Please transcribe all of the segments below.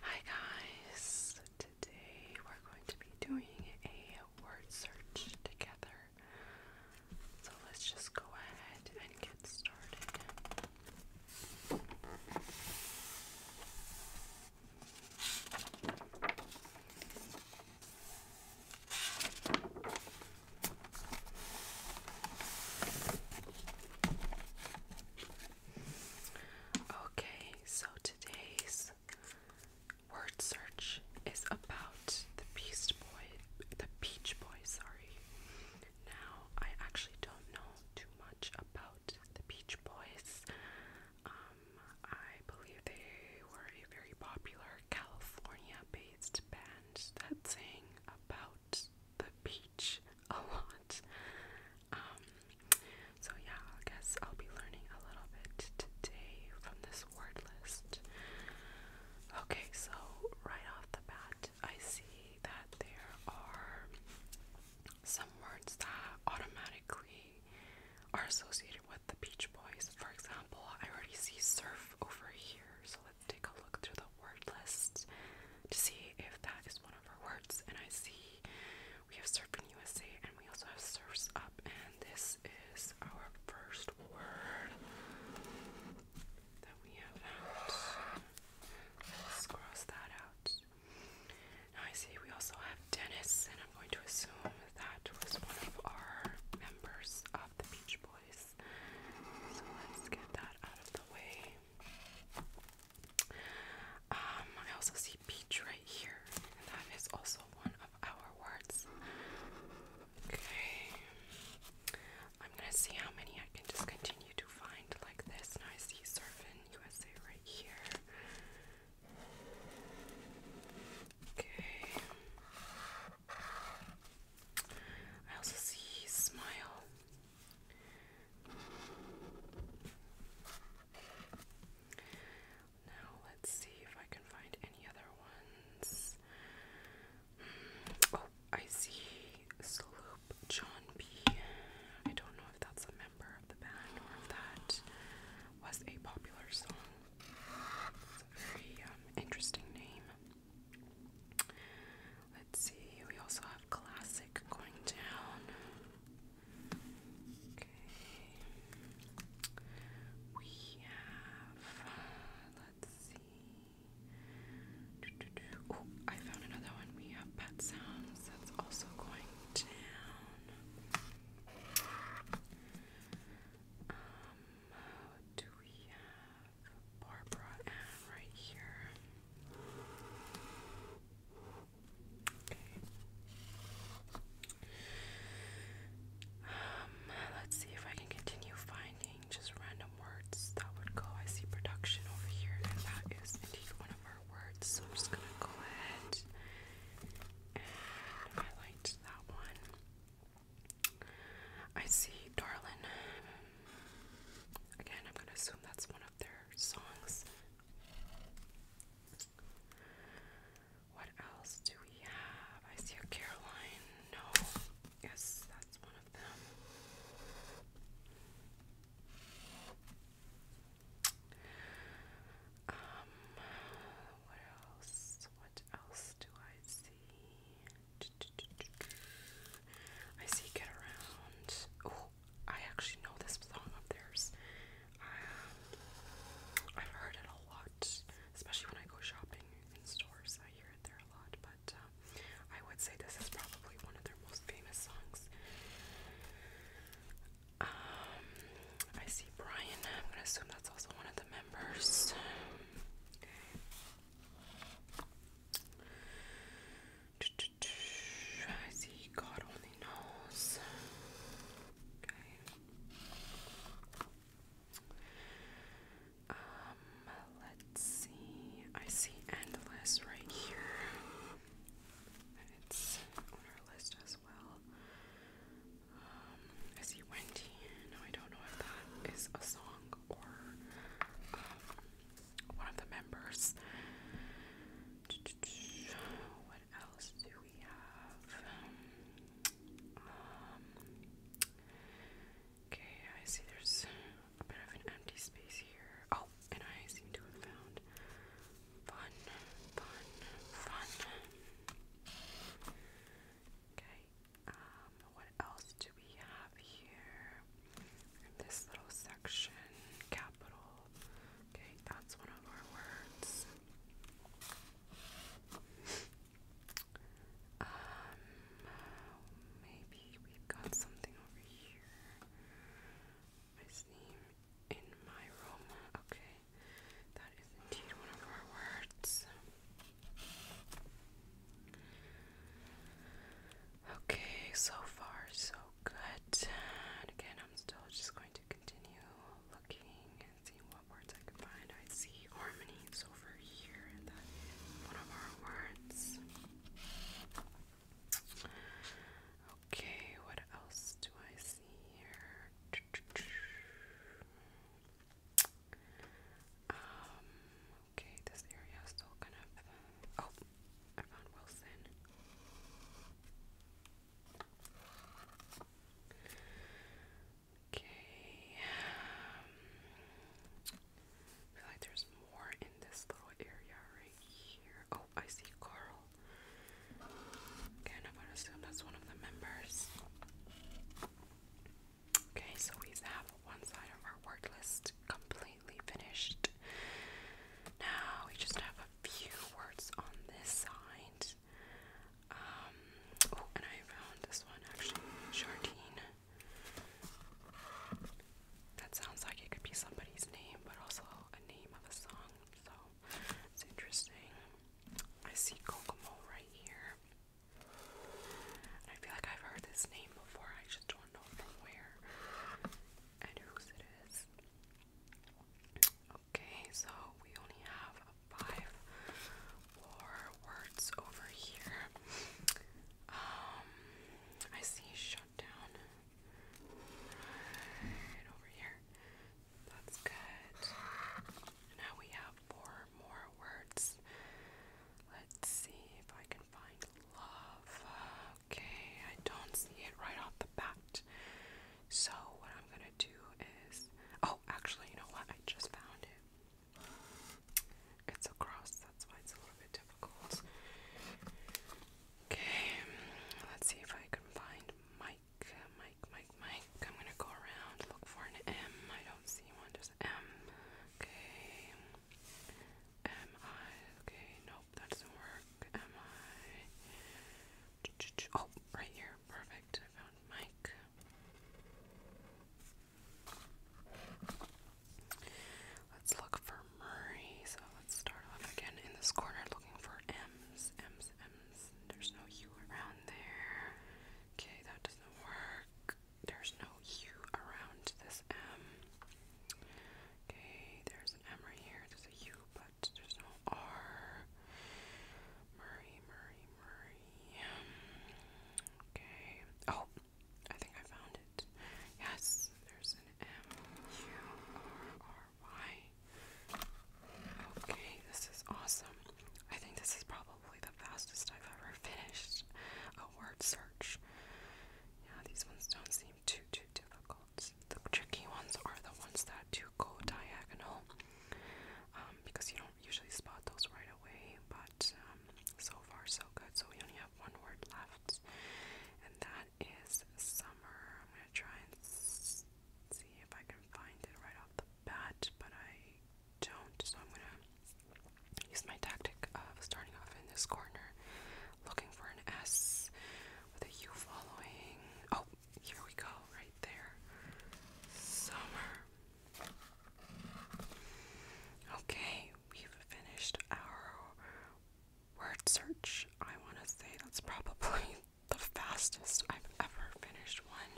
Hi guys! Today we're going to be doing a word search together. So let's just go ahead and get started. Okay, so today's word search is about the Beast Boy, the Beach Boy, sorry. Now, I actually don't know too much about the Beach Boys. Um, I believe they were a very popular California based band that sang about the beach a lot. Um, so yeah, I guess I'll be learning a little bit today from this word list. Okay, so right off the bat, I see that there are some words that automatically are associated with the Beach Boys. For example, I already see surf over here, so take a look through the word list to see if that is one of our words. And I see we have Surfing USA and we also have Surfs Up, and this is our first word that we have Let's cross that out. Now I see we also have Dennis, and I'm going to assume that was one of our members of the Beach Boys. So let's get that out of the way. Um, I also see peach right here, that is also one of our words. Okay. I'm gonna see how many I can just continue to find like this. Now I see Surfin USA right here. Okay. I also see smile. Now let's see if I can find any other ones. Hmm, oh, I see Sloop John B. I don't know if that's a member of the band or if that was a popular song. very um, interesting name. Let's see, we also have classic going down. Okay. We have, let's see. I found another one. We have pet sounds. That's also going down. Um, do we have Barbara Ann right here? Um, let's see if I can continue finding just random words that would go. I see production over here, and that is indeed one of our words. So I'm just gonna go ahead and highlight that one. I see Darlin. Again, I'm going to assume that's one of their songs. What else do we have? I see a Caroline. No. Yes, that's one of them. Um, what else? What else do I see? I see Get Around. Oh, I actually know this song of theirs. Um, I've heard it a lot, especially when I go shopping in stores. I hear it there a lot, but um, I would say this is probably one of their most famous songs. Um, I see Brian. I'm gonna assume that's also one of the members. I see God only knows. Okay. Um, let's see. I see endless right here. it's on our list as as well. Um, I see Wendy. I don't know if that is a song or um, one of the members. What else do we have? Um, okay, I see there's a bit of an empty space here. Oh, and I seem to have found fun, fun, fun. Okay, um, what else do we have here in this little section? Capital. Okay, that's one of our words. Um, maybe we've got something over here steam in my room. Okay, that is indeed one of our words. Okay, so far so good. again, I'm still just going to continue looking and seeing what words I can find. I see harmony is over here, that is one of our words. Okay, what else do I see here? Um, okay, this area is still kind of. Oh, I found Wilson. Okay. Um, feel like there's more in this little area right here. I see Carl. Okay, I'm gonna assume that's one of the members. Okay, so we have one side of our word list completely finished. Now we just have a few words on this side. Um, oh, and I found this one actually, Jardine. That sounds like it could be somebody's name, but also a name of a song so it's interesting. I see Kokomo right here. I feel like I've heard this name before, I just don't know from where and whose it is. Okay, so we only have five more words over here. Um, I see shutdown. Right over here. That's good. Now we have four more words. Let's see if I can find love. Okay, I don't see it right off the bat. So, what I'm gonna do is. Oh, actually, you know what? I just found it. It's a cross, that's why it's a little bit different. Okay, let's see if I can find Mike. Mike, Mike, Mike. I'm gonna go around, look for an M. I don't see one, there's M. Okay. M I okay, nope, that doesn't work. M I oh, right here. Perfect. I found Mike. Let's look for Murray. So let's start off again in this corner looking for M's, M's, M's. There's no U around there. Okay, that doesn't work. There's no U around this M. Okay, there's an M right here. There's a U, but there's no R. Murray, Murray, Murray. Okay. Oh, I think I found it. Yes, there's an M-U-R-R-Y. Okay, this is awesome. I think this is probably the fastest I've ever finished a word search. Yeah, these ones don't seem too, too difficult. The tricky ones are the ones that do go diagonal um, because you don't usually spot those right away, but um, so far so good. So we only have one word left, and that is summer. I'm going to try and see if I can find it right off the bat, but I don't, so I'm going to use my tactic of starting off in this corner, looking for an S with a U following. Oh, here we go, right there. Summer. Okay, we've finished our word search. I want to say that's probably the fastest I've ever finished one.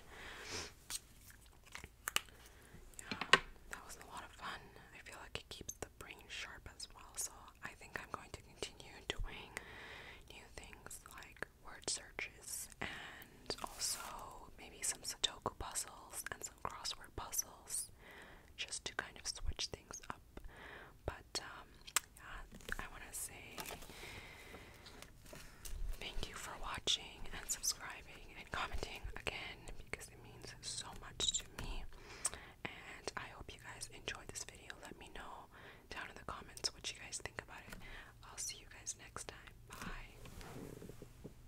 Yeah, that was a lot of fun. I feel like it keeps the brain sharp as well, so I think I'm going to continue doing new things like word searches and also maybe some Sudoku puzzles and crossword puzzles just to kind of switch things up. But um, yeah, I want to say thank you for watching and subscribing and commenting again because it means so much to me. And I hope you guys enjoyed this video. Let me know down in the comments what you guys think about it. I'll see you guys next time. Bye.